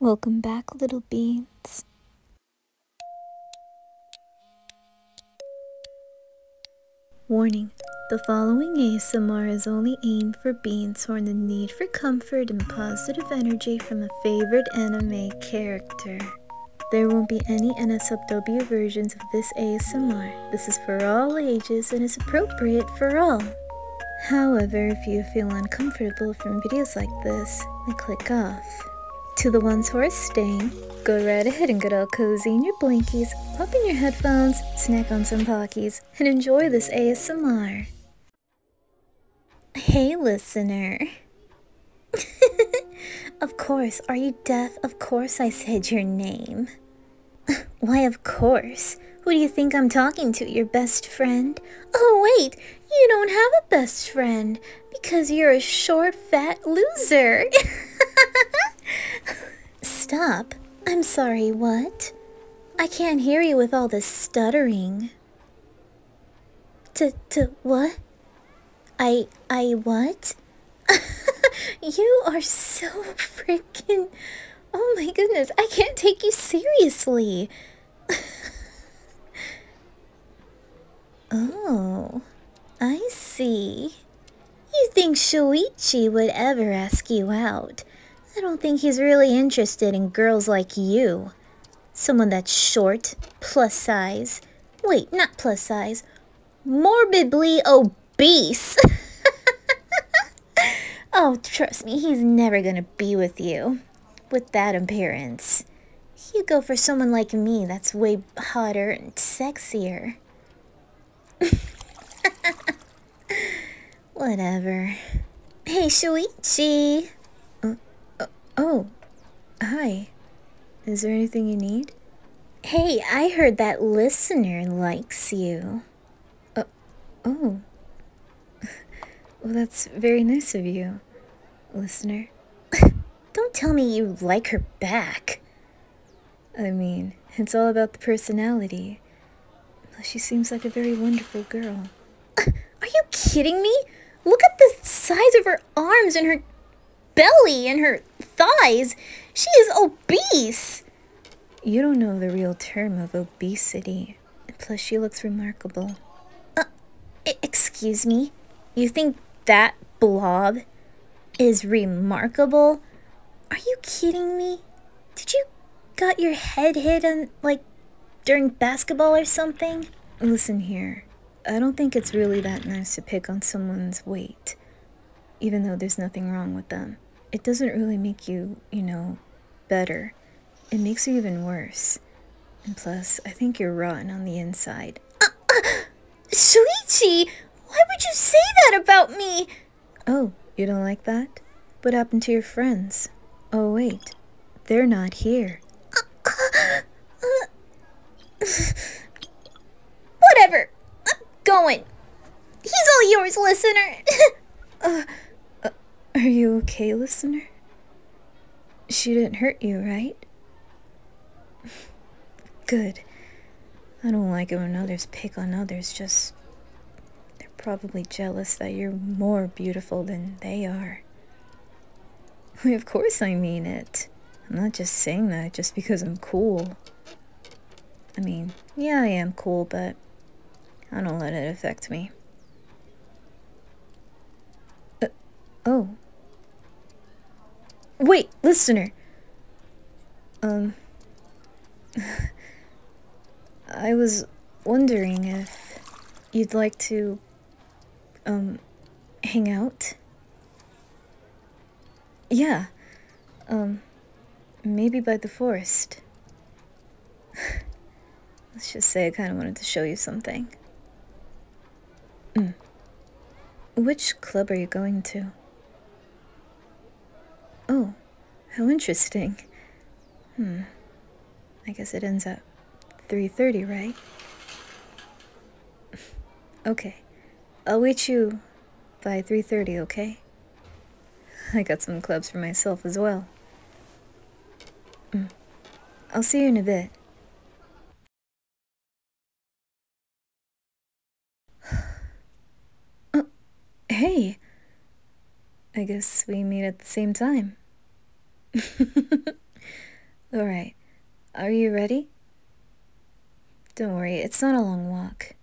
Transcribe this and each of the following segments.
Welcome back, little beans. Warning The following ASMR is only aimed for beans who in need for comfort and positive energy from a favorite anime character. There won't be any NSFW versions of this ASMR. This is for all ages and is appropriate for all. However, if you feel uncomfortable from videos like this, then click off. To the ones who are staying, go right ahead and get all cozy in your blankies, pop in your headphones, snack on some Pockies, and enjoy this ASMR. Hey, listener. of course, are you deaf? Of course I said your name. Why, of course. Who do you think I'm talking to, your best friend? Oh, wait, you don't have a best friend because you're a short, fat loser. Stop. I'm sorry, what? I can't hear you with all this stuttering. To t what? I- I what? you are so freaking... Oh my goodness, I can't take you seriously. oh, I see. You think Shuichi would ever ask you out. I don't think he's really interested in girls like you. Someone that's short, plus size. Wait, not plus size. Morbidly obese beast. oh, trust me, he's never gonna be with you. With that appearance. You go for someone like me that's way hotter and sexier. Whatever. Hey, Shuichi! Uh, uh, oh, hi. Is there anything you need? Hey, I heard that listener likes you. Uh, oh. well, that's very nice of you, listener. Don't tell me you like her back. I mean, it's all about the personality. She seems like a very wonderful girl. Are you kidding me? Look at the size of her arms and her belly and her thighs. She is obese. You don't know the real term of obesity. Plus, she looks remarkable. Uh, excuse me? You think that blob is remarkable? Are you kidding me? Did you got your head hit on, like, during basketball or something? Listen here. I don't think it's really that nice to pick on someone's weight even though there's nothing wrong with them. It doesn't really make you, you know, better. It makes you even worse. And plus, I think you're rotten on the inside. Uh, Why would you say that about me? Oh, you don't like that? What happened to your friends? Oh, wait. They're not here. Whatever. I'm going. He's all yours, listener. Uh, uh, are you okay, listener? She didn't hurt you, right? Good. I don't like it when others pick on others, just... They're probably jealous that you're more beautiful than they are. Of course I mean it. I'm not just saying that just because I'm cool. I mean, yeah, I am cool, but I don't let it affect me. Uh, oh. Wait, listener! Um. I was wondering if you'd like to, um, hang out? Yeah. Um, maybe by the forest. Let's just say I kind of wanted to show you something. Mm. Which club are you going to? Oh, how interesting. Hmm. I guess it ends at 3.30, right? okay, I'll wait you by 3:30, okay? I got some clubs for myself as well. Mm. I'll see you in a bit. oh, hey. I guess we meet at the same time. All right. Are you ready? Don't worry, it's not a long walk.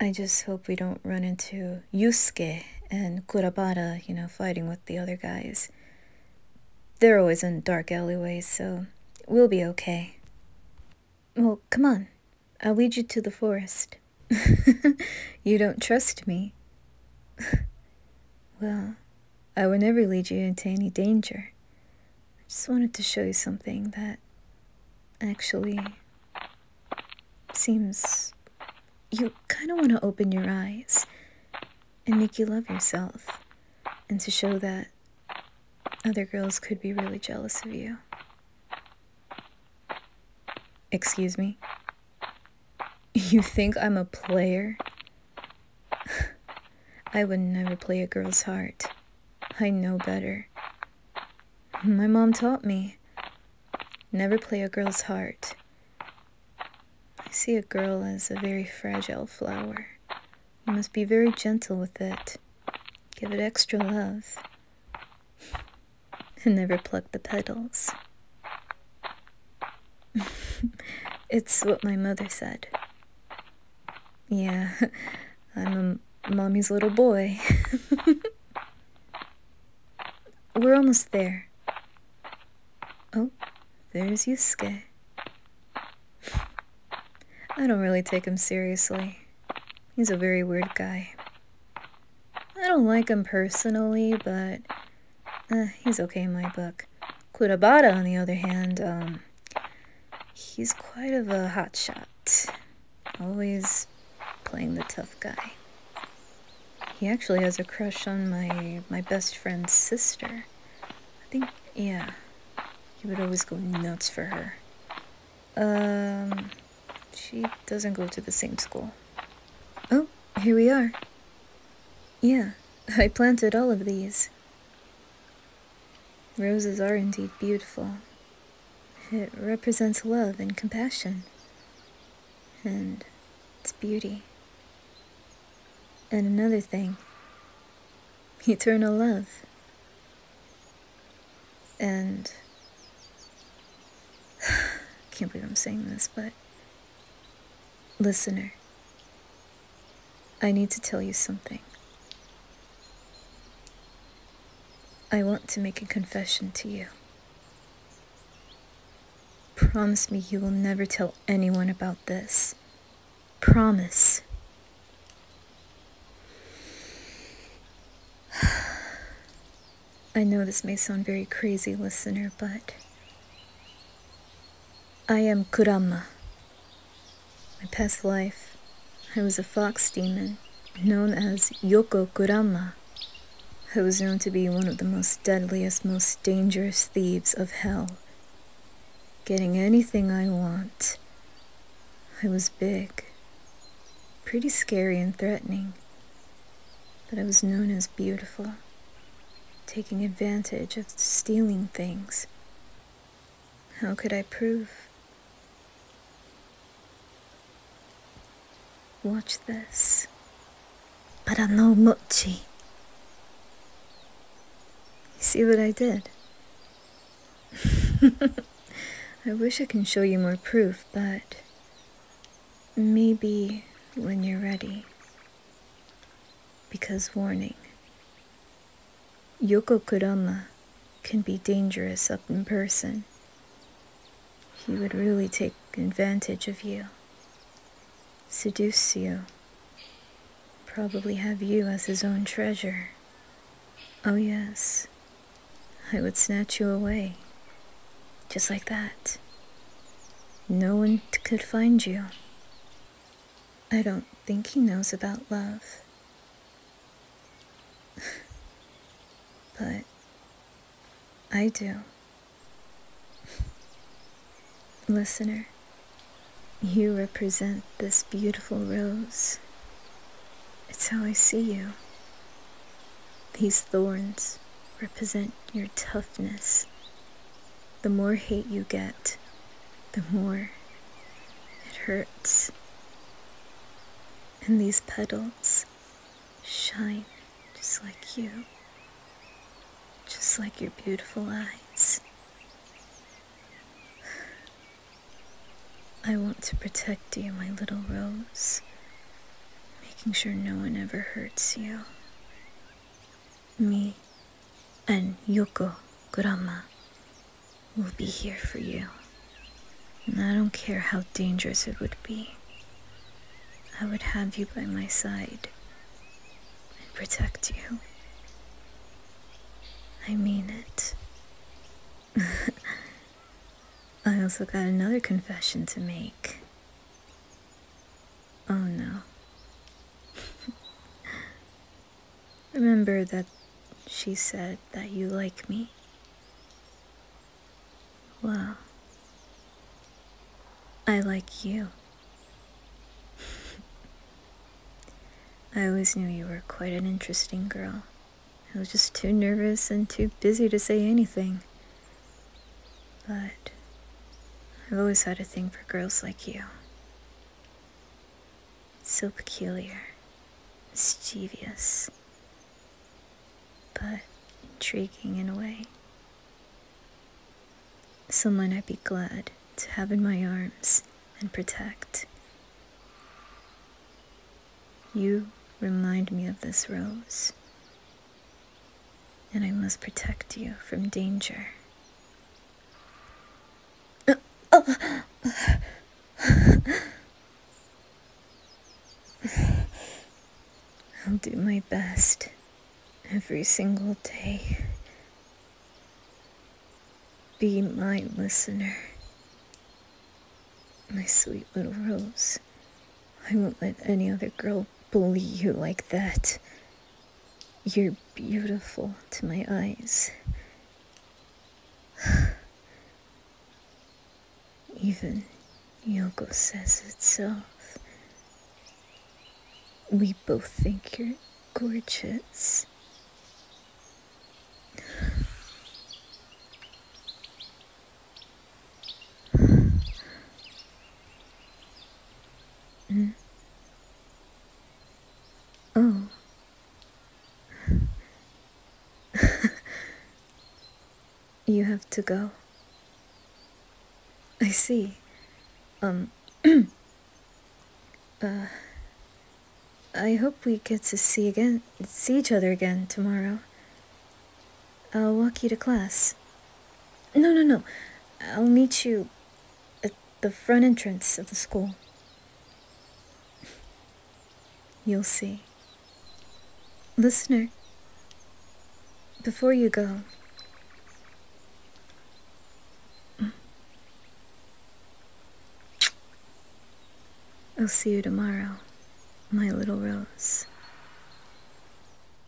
I just hope we don't run into Yusuke and Kurabara, you know, fighting with the other guys. They're always in dark alleyways, so we'll be okay. Well, come on. I'll lead you to the forest. you don't trust me. well, I would never lead you into any danger. I Just wanted to show you something that actually seems you kind of want to open your eyes and make you love yourself and to show that other girls could be really jealous of you. Excuse me? You think I'm a player? I would never play a girl's heart. I know better. My mom taught me. Never play a girl's heart. I see a girl as a very fragile flower. You must be very gentle with it. Give it extra love. And never pluck the petals. it's what my mother said. Yeah, I'm a mommy's little boy. We're almost there. Oh, there's Yusuke. I don't really take him seriously. He's a very weird guy. I don't like him personally, but eh, he's okay in my book. Kurabata, on the other hand, um, he's quite of a hot shot, always playing the tough guy. He actually has a crush on my my best friend's sister. I think, yeah, he would always go nuts for her. Um, she doesn't go to the same school. Oh, here we are. Yeah, I planted all of these. Roses are indeed beautiful. It represents love and compassion, and its beauty. And another thing eternal love. And I can't believe I'm saying this, but listener, I need to tell you something. I want to make a confession to you. Promise me you will never tell anyone about this. Promise. I know this may sound very crazy, listener, but I am Kurama. My past life, I was a fox demon known as Yoko Kurama. I was known to be one of the most deadliest, most dangerous thieves of hell. Getting anything I want. I was big, pretty scary and threatening, but I was known as beautiful taking advantage of stealing things. How could I prove? Watch this. But I know mochi. You see what I did? I wish I can show you more proof, but maybe when you're ready. Because, warning, Yokokurama can be dangerous up in person. He would really take advantage of you, seduce you, probably have you as his own treasure. Oh, yes, I would snatch you away, just like that. No one could find you. I don't think he knows about love. but I do. Listener, you represent this beautiful rose. It's how I see you. These thorns represent your toughness the more hate you get, the more it hurts. And these petals shine just like you, just like your beautiful eyes. I want to protect you, my little rose, making sure no one ever hurts you me and Yoko Grandma will be here for you. And I don't care how dangerous it would be. I would have you by my side and protect you. I mean it. I also got another confession to make. Oh no. Remember that she said that you like me? Well, I like you. I always knew you were quite an interesting girl. I was just too nervous and too busy to say anything. But I've always had a thing for girls like you. so peculiar, mischievous, but intriguing in a way. Someone I'd be glad to have in my arms and protect. You remind me of this rose and I must protect you from danger. I'll do my best every single day. Be my listener, my sweet little rose. I won't let any other girl bully you like that. You're beautiful to my eyes. Even Yoko says itself. We both think you're gorgeous. Mm. Oh. you have to go. I see. Um. uh. I hope we get to see again, see each other again tomorrow. I'll walk you to class. No, no, no. I'll meet you at the front entrance of the school. You'll see. Listener, before you go, I'll see you tomorrow, my little rose.